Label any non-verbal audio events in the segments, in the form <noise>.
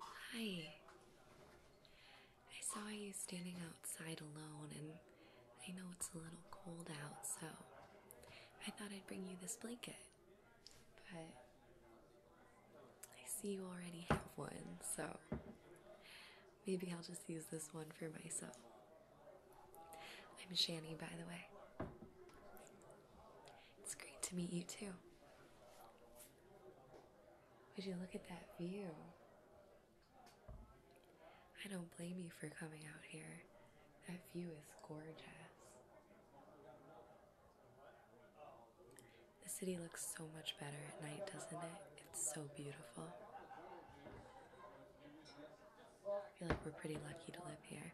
Hi. I saw you standing outside alone, and I know it's a little cold out, so I thought I'd bring you this blanket. But I see you already have one, so maybe I'll just use this one for myself. I'm Shani, by the way. It's great to meet you, too. Would you look at that view? I don't blame you for coming out here. That view is gorgeous. The city looks so much better at night, doesn't it? It's so beautiful. I feel like we're pretty lucky to live here.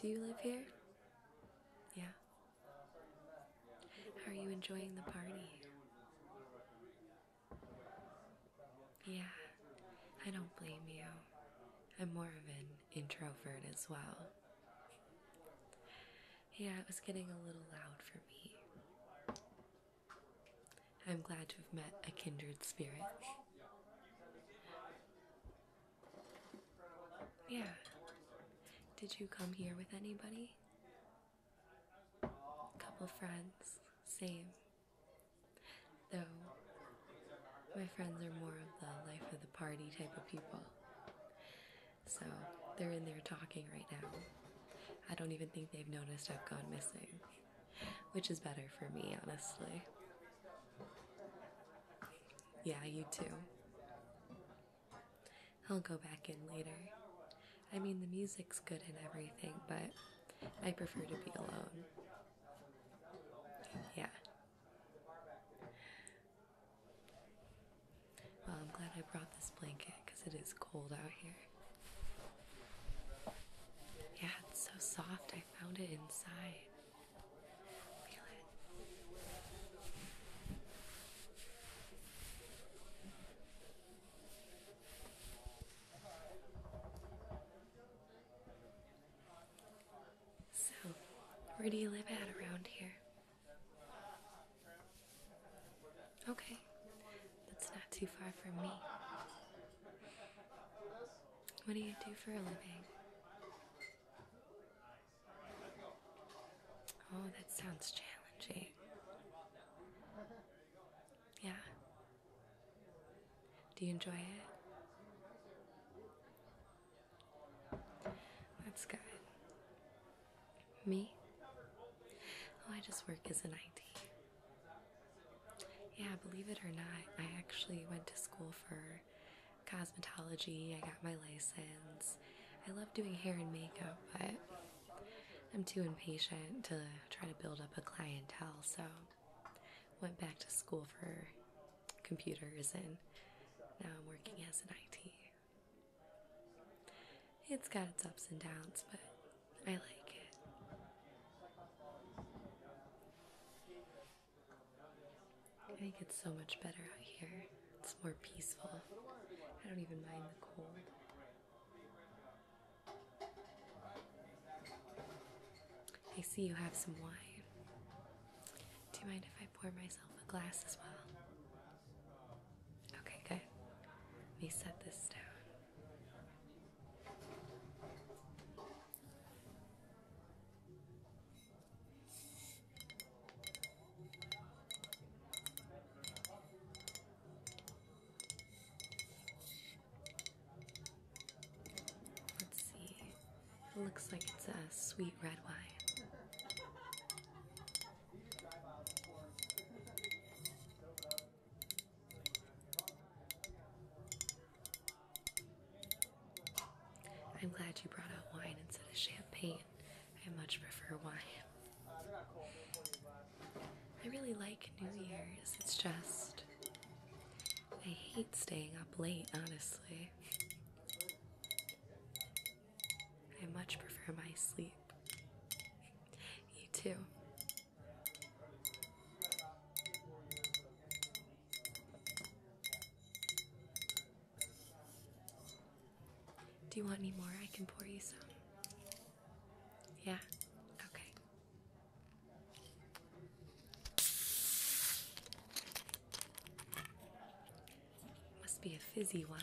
Do you live here? Yeah. How are you enjoying the party? Yeah, I don't blame you. I'm more of an introvert as well. Yeah, it was getting a little loud for me. I'm glad to have met a kindred spirit. Yeah. Did you come here with anybody? Couple friends, same. Though my friends are more of the life of the party type of people. So they're in there talking right now. I don't even think they've noticed I've gone missing which is better for me, honestly. Yeah, you too. I'll go back in later. I mean, the music's good and everything, but I prefer to be alone. Yeah. Well, I'm glad I brought this blanket because it is cold out here. Yeah, it's so soft. I found it inside. So, where do you live at around here? Okay that's not too far from me. What do you do for a living? Oh, that sounds challenging. Yeah. Do you enjoy it? That's good. Me? Oh, I just work as an ID. Yeah, believe it or not, I actually went to school for cosmetology. I got my license. I love doing hair and makeup, but I'm too impatient to try to build up a clientele, so went back to school for computers and now I'm working as an IT. It's got its ups and downs, but I like it. I think it's so much better out here. It's more peaceful. I don't even mind the cold. I see you have some wine. Do you mind if I pour myself a glass as well? Okay, good. Let me set this down. Let's see. It looks like it's a sweet red wine. I'm glad you brought out wine instead of champagne. I much prefer wine. I really like New Year's. It's just. I hate staying up late, honestly. I much prefer my sleep. You too. Do you want any more? I can pour you some. Yeah? Okay. Must be a fizzy wine.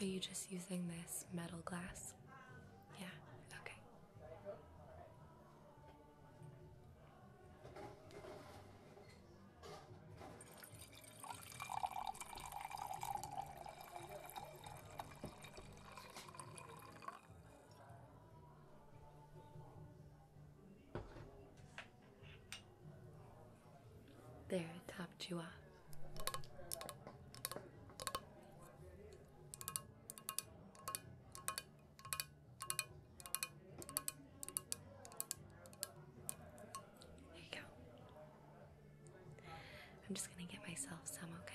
Are you just using this metal glass? Yeah, okay. There, it topped you off. There you go. I'm just going to get myself some, okay?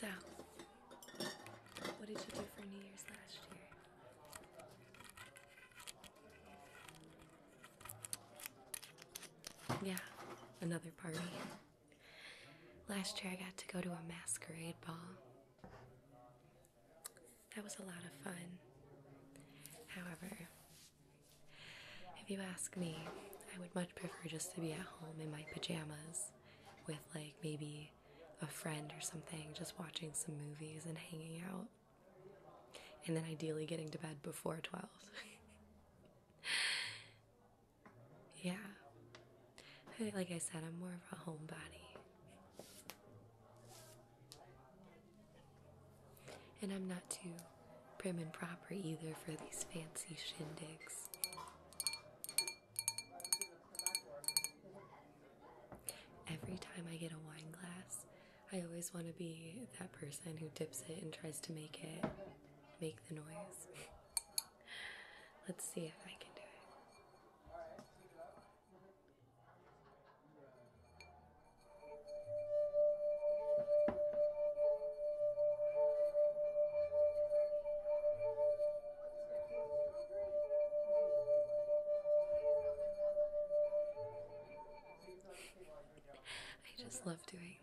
So, what did you do for New Year's last year? Yeah, another party. Last year I got to go to a masquerade ball that was a lot of fun. However, if you ask me, I would much prefer just to be at home in my pajamas with, like, maybe a friend or something, just watching some movies and hanging out. And then ideally getting to bed before 12. <laughs> yeah. Like I said, I'm more of a homebody. And I'm not too prim and proper either for these fancy shindigs. Every time I get a wine glass, I always want to be that person who dips it and tries to make it make the noise. <laughs> Let's see if I can do it. I just love doing that.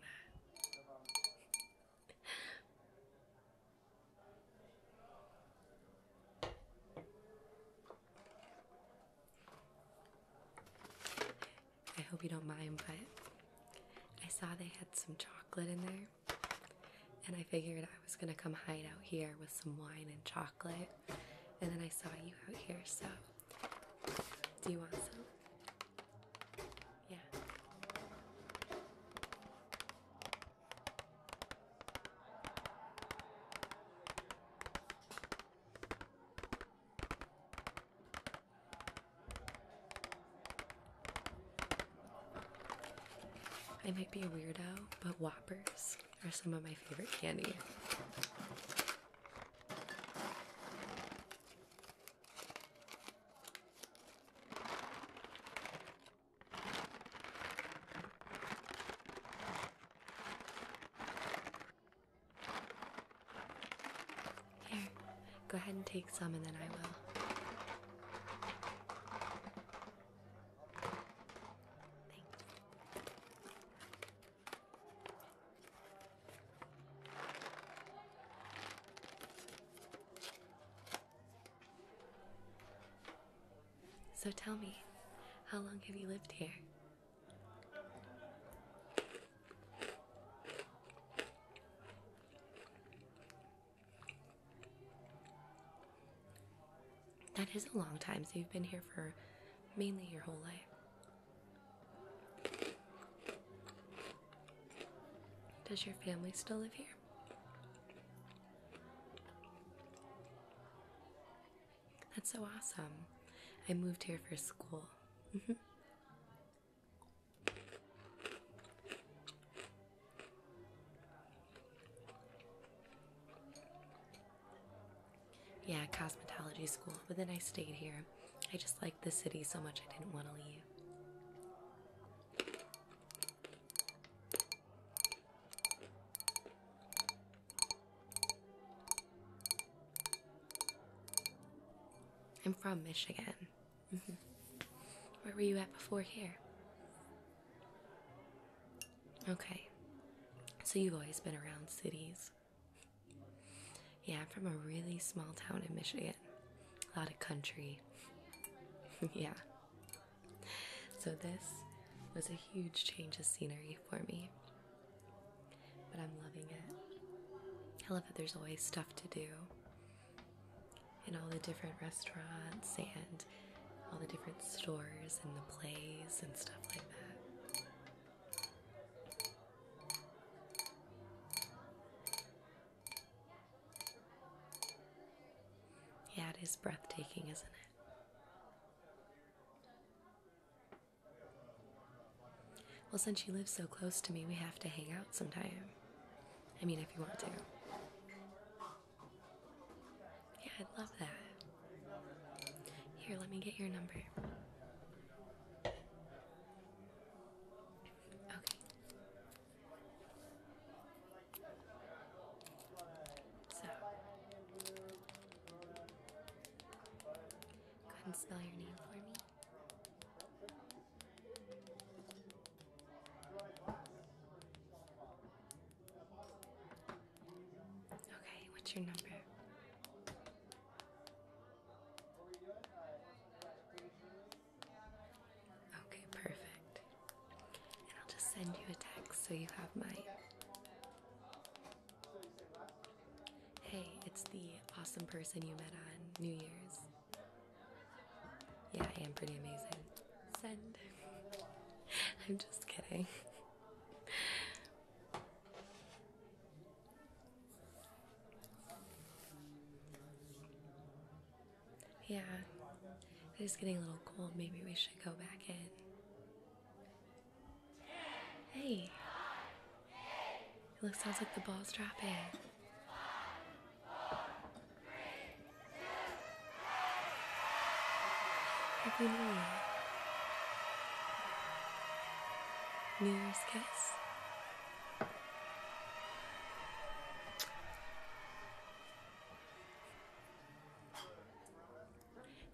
I hope you don't mind, but I saw they had some chocolate in there, and I figured I was gonna come hide out here with some wine and chocolate, and then I saw you out here, so do you want some? Yeah. I might be a weirdo, but Whoppers are some of my favorite candy. Here, go ahead and take some, and then I will. Thanks. So tell me, how long have you lived here? That is a long time, so you've been here for mainly your whole life. Does your family still live here? That's so awesome. I moved here for school. Mm-hmm. yeah, cosmetology school, but then I stayed here. I just liked the city so much I didn't want to leave. I'm from Michigan. Mm-hmm. Where were you at before here? Okay. So you've always been around cities. Yeah, I'm from a really small town in Michigan. A lot of country. <laughs> yeah. So, this was a huge change of scenery for me, but I'm loving it. I love that there's always stuff to do in all the different restaurants and all the different stores and the plays and stuff like that. Yeah, it is breathtaking, isn't it? Well, since you live so close to me, we have to hang out sometime. I mean, if you want to. Yeah, I'd love that. Here, let me get your number. Okay. So, Go ahead and spell your name for me. Okay, what's your number? Okay, perfect. And I'll just send you a text so you have mine. Hey, it's the awesome person you met on New Year's. Yeah, I am pretty amazing. Send. <laughs> I'm just kidding. <laughs> yeah, it is getting a little cold. Maybe we should go back in. Hey. It looks like the ball's dropping. Happy New Year's kiss.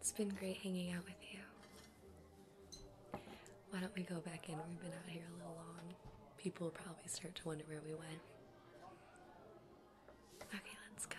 It's been great hanging out with you. Why don't we go back in? We've been out here a little long. People will probably start to wonder where we went. Okay, let's go.